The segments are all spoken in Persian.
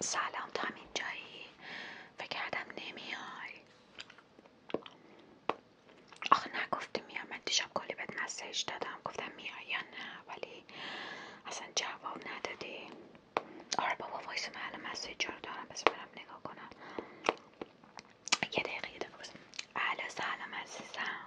سلام تا اینجایی فکر کردم نمیای آخه نگفته میام من دیشب کلی بهت مسیج دادم گفتم میای یا نه ولی اصلا جواب ندادی آره بابا وایس من مسیج رو دارم بس نگاه کنم یه دقیقه یه دقیقه سلام عزیزم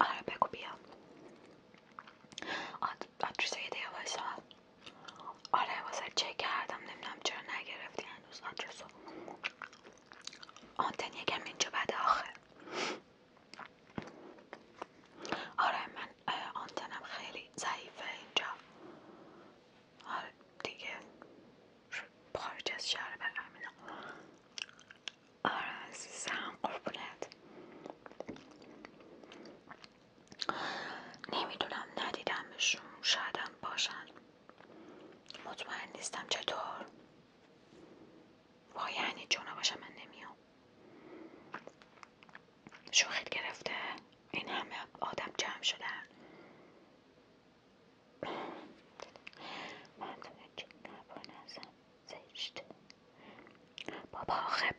آره بگو بیا آدرس یه دیگه آره واسه کردم نمیدونم چرا نگرفتی هنوز آدرس آنتن یکم اینجا بعد آخر آره من آنتنم خیلی ضعیفه اینجا آره دیگه خارج از شهر آره عزیزم قربونت نمیدونم ندیدمشون شایدم باشن مطمئن نیستم چطور وای یعنی جونا باشه من نمیام شوخیت گرفته این همه آدم جمع شدن من زشت بابا آخه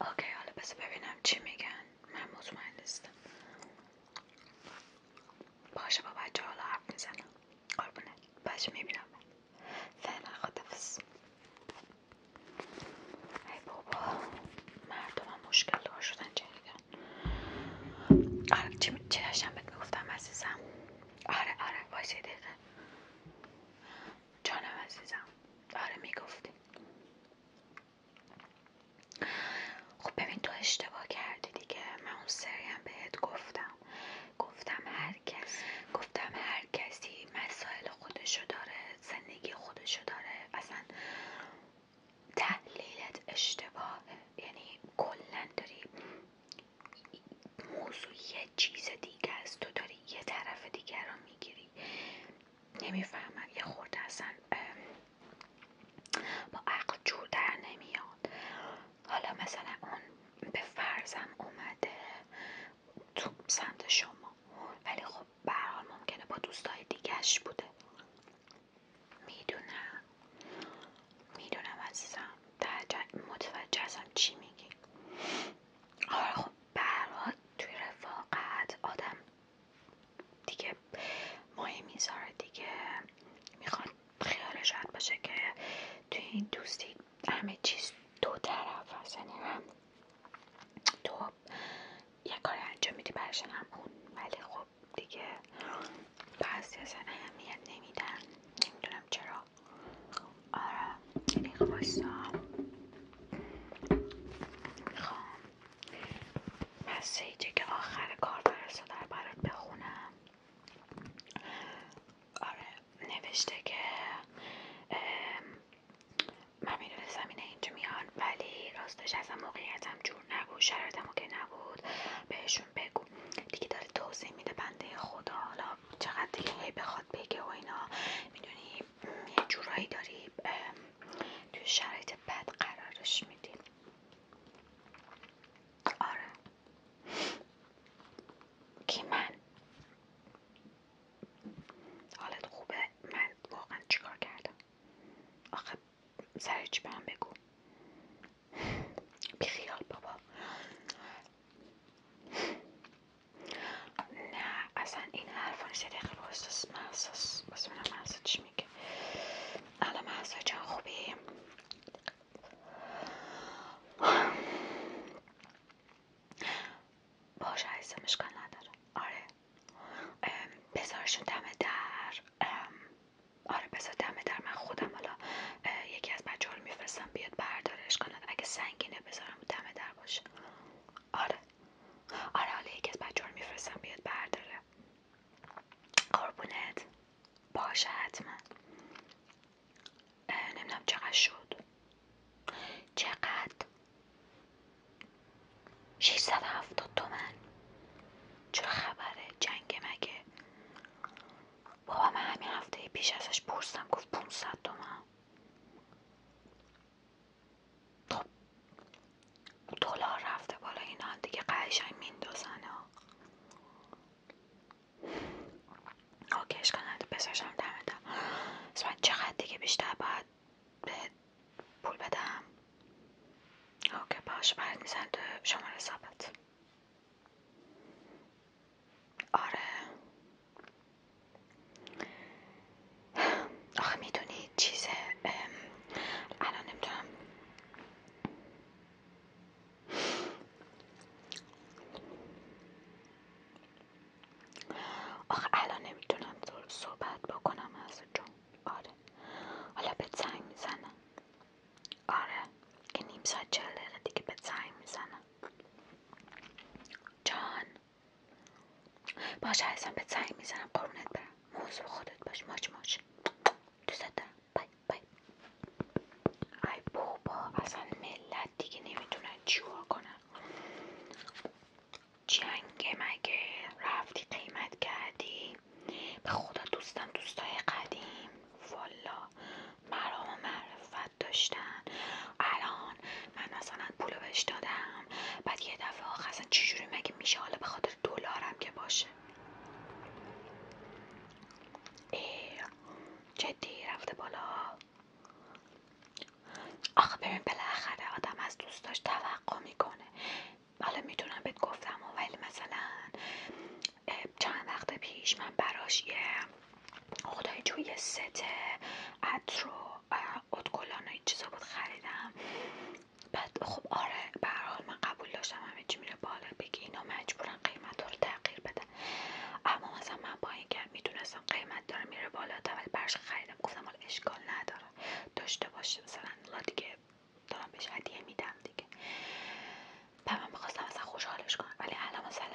اوکی حالا بس ببینم چی میگن من مطمئن نیستم باشه با بچه حالا حرف میزنم قربونت باشه میبینم من فعلا خدافز ای بابا مردم هم مشکل دار شدن جدیدن آره چی, چی داشتم بهت میگفتم عزیزم آره آره وایسی دقیقه جانم عزیزم آره میگفتی خب ببین تو اشتباه کردی دیگه من اون سریم بهت گفتم گفتم هر گفتم هر کسی مسائل خودشو داره زندگی خودشو داره اصلا تحلیلت اشتباه یعنی کلا داری موضوع یه چیز دیگه است تو داری یه طرف دیگر رو میگیری نمیفهمم یه خورده اصلا با عقل جور در نمیاد حالا مثلا اون به فرضم اومده تو سمت شما ولی خب برحال ممکنه با دوستای دیگهش بوده میدونم میدونم عزیزم متوجه ازم چی میگی آره خب برحال توی رفاقت آدم دیگه مهم میذاره دیگه میخوان خیال شاید باشه که توی این دوستی همه چیز دو طرف هست یعنی تو یه کار انجام میدی برشن هم ولی خب دیگه بعضی اصلا اهمیت نمیدن نمیدونم چرا آره یعنی خواستا خب میخوام مسیجی که آخر کار رو داره برات بخونم آره نوشته که من میدونستم اینه اینجا میان ولی راستش از موقعیتم جور نبود شرایطم که نبود بهشون بگو دیگه داره توضیح میده بنده خدا حالا چقدر دیگه هی بخواد بگه و اینا میدونی یه جورایی داری تو شرایط بد قرارش میدی آره کی من حالت خوبه من واقعا چیکار کردم آخه سر چی من بگو بیخیال بابا نه اصلا این حرفان سه دقیقه با احساس محساس بس من چی میگه الان محسا جان خوبی باشه عزیزم اشکال نداره آره بزارشون دم در آره بذار دم در من خودم حالا یکی از بچه ها رو میفرستم بیاد برداره اشکال نداره اگه سنگینه بذارم دم در باشه آره آره حالا یکی از بچه ها رو میفرستم بیاد برداره قربونت باشه حتما نمیدونم چقدر شد چقدر 670 دومن چه خبره جنگ مگه بابا من همین هفته پیش ازش پرستم گفت 500 تومن خب. تو دلار رفته بالا اینا دیگه قشنگ میندازن ها اوکی اشکال نداره بساشم من دیگه بیشتر باید به پول بدم اوکی باش برد میزن شماره سابت. آره آخه میدونی چیزه الان نمیتونم آخه الان نمیتونم صحبت بکنم از جون آره حالا به زنگ میزنم آره که نیم ساعت چهل دیگه به زنگ میزنم جان باشه هستم به زنگ میزنم قرونت برم موضوع خودت باش ماچ ماچ دوست دارم بای بای ای بابا اصلا ملت دیگه نمیتونن چیکار کنن جنگ مگه رفتی قیمت کردی به خدا دوستم دوستای قدیم والا مرام و معرفت داشتن الان من اصلا پولو دادم بعد یه دفعه آخر اصلا چجوری مگه میشه حالا به خاطر دلارم که باشه ای جدی رفته بالا آخه ببین بالاخره آدم از دوستاش توقع میکنه حالا میتونم بهت گفتم ولی مثلا چند وقت پیش من براش یه خدای جوی ست عطر اتکلان این چیزا بود خریدم بعد خب آره به حال من قبول داشتم همه چی میره بالا بگی اینا مجبورن قیمت رو تغییر بدن اما مثلا من با اینکه میدونستم قیمت داره میره بالا ولی برش خریدم گفتم حالا اشکال نداره داشته باشه مثلا دیگه دارم بهش میدم دیگه و من میخواستم مثلا خوشحالش کنم ولی الان مثلا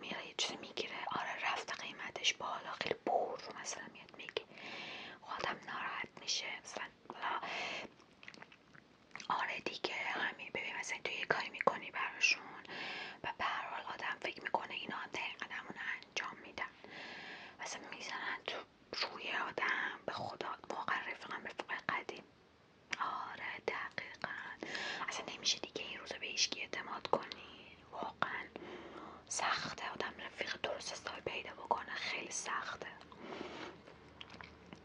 میره یه چیزی میگیره آره رفت قیمتش بالا خیلی بور مثلا میگه خودم ناراحت میشه مثلا آره دیگه همین ببین مثلا تو یه کاری میکنی براشون و به هر آدم فکر میکنه اینا دقیقا همون انجام میدن مثلا میزنن تو روی آدم به خدا واقعا به فوق قدیم آره دقیقا اصلا نمیشه دیگه این روزا به هیچکی اعتماد کنی واقعا سخته آدم رفیق درست حسابی پیدا بکنه خیلی سخته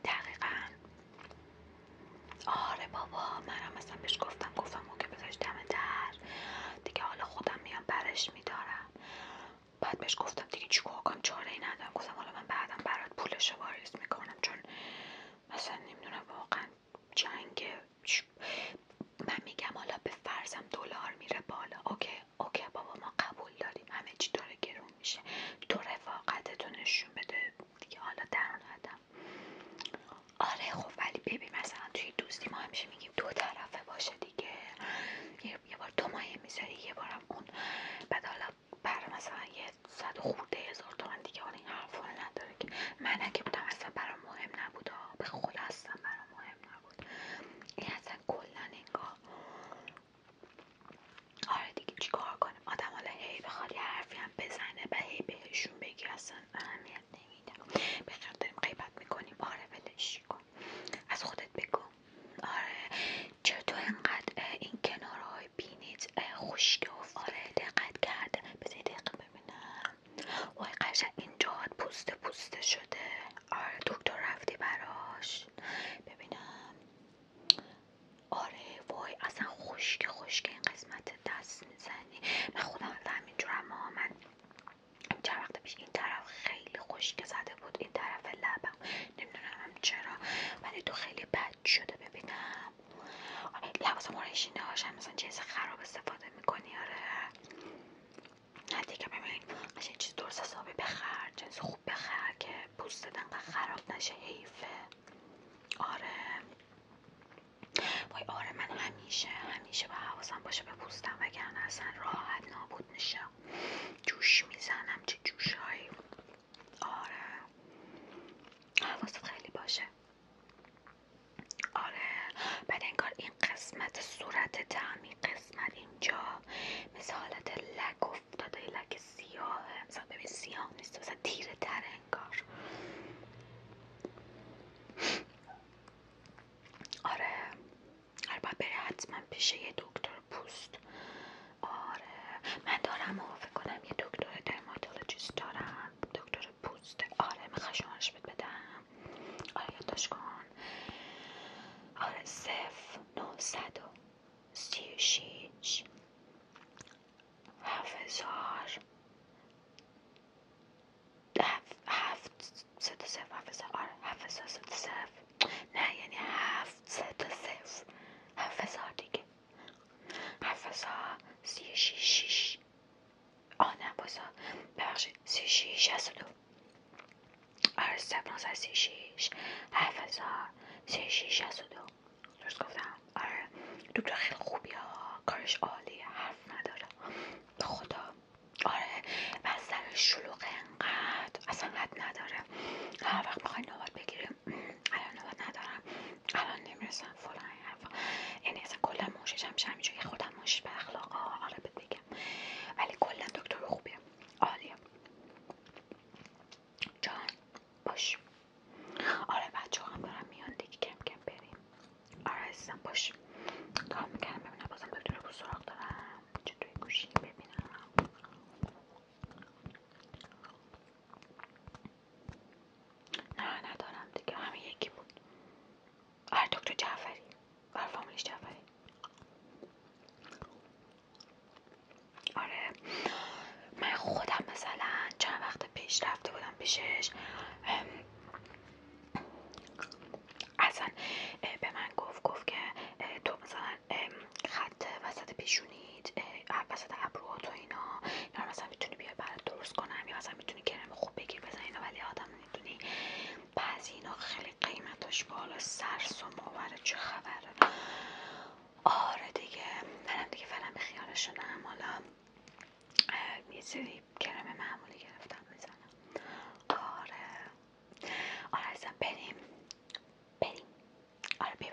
دقیقا آره بابا منم مثلا بهش گفتم گفتم که بذارش دم در دیگه حالا خودم میام برش میدارم بعد بهش گفتم دیگه چی کنم چاره ای ندارم گفتم حالا من بعدم برات پولش واریز میکنم چون مثلا نمیدونم واقعا جنگ من میگم حالا به فرضم دلار میره بالا اوکی اوکی بابا ما قبول داریم همه چی داره گرون میشه تو رفاقتتو نشون بده دیگه حالا در آدم آره خب ولی ببین مثلا توی دوستی ما همیشه میگیم دو طرفه باشه دیگه یه بار تو مایه میذاری یه بارم اون بعد حالا برای مثلا یه صد خورده هزار تومن دیگه حالا این حرفا نداره که من اگه بودم اصلا برام مهم نبود به خود مهم نبود این اصلا کلا انگار آره دیگه چیکار کنیم آدم حالا هی بخواد یه حرفی هم بزنه و هی بهشون بگی اصلا اهمیت نمیدم بخیر داریم غیبت میکنیم آره ولش کن از خودت بگو آره چطور انقدر این کنارهای بینیت خشکه و آره دقت کرده بذاری دقیق ببینم وای قشنگ اینجا پوسته پوسته شده آره دکتر رفتی براش ببینم آره وای اصلا خشک خشک این قسمت دست میزنی من خودم همینجورم من چه وقت پیش این طرف خیلی خشک زده بود این طرف لبم نمیدونم چرا ولی تو خیلی بد شده ببینم آره، لباس مرشینه هاشم مثلا چیز خراب استفاده میکنی آره نه دیگه ببین این چیز درست حسابی بخر جنس خوب بخر که پوست انقدر خراب نشه حیفه آره وای آره من همیشه همیشه با حواسم باشه به پوستم وگرن اصلا راحت نابود میشم جوش میزنم چه جوشهایی آره حواست خیلی باشه آره بعد انگار این قسمت صورت تعمی قسمت اینجا مثل حالت لک افتاده لک مثلا ببین نیست مثلا تیره تر انگار آره البته بره حتما پیش یه دکتر پوست آره من دارم موافق کنم یه دکتر درماتولوژیست دارم دکتر پوست آره میخوای شمارش بدم آره یادداشت کن آره صفر نهصد و سی و شیش هفت هزار هفت سد و صفر هفت هزار آره، هفت هزار سه نه یعنی هفت سد و صفر هفت هزار دیگه هفت هزار سی و شیش شیش آه نه بازا ببخشید سی شیش هست دو آره سپناس از سی شیش هفت هزار سی شیش هست دو درست گفتم آره دکتر خیلی خوبی ها کارش عالیه حرف نداره به خدا آره و از شلوغ انقدر اصلا حد نداره هر وقت میخوای نوبت بگیریم الان نوبت ندارم الان نمیرسم فلان یعنی اصلا کلن موشش هم میشه همینجوری خودم موشش به اخلاق آره بهت بگم ولی کلا دکتر خوبیه عالیه جان باش آره بچه هم دارم میان دیگه کم کم بریم آره عزیزم باش کار میکردم ببینم بازم دکتر رو سراغ دارم چطوری گوشی ببینم نه ندارم دیگه همین یکی بود هر آره، دکتر جعفری آره فامیلش جعفری آره من خودم مثلا چند وقت پیش رفته بودم پیشش اصلا به من گفت گفت که تو مثلا خط وسط پیشونیت وسط ابروها اینا مثلا میتونی بیای بر درست کنم یا مثلا میتونی کرم خوب بگیر بزنی اینا ولی آدم میتونی بعضی اینا خیلی قیمتاش بالا سرس و ماوره چه خبره آره دیگه منم دیگه فعلا به خیالش شدم حالا یه سری کرم معمولی گرفتم میزنم آره آره بریم بریم آره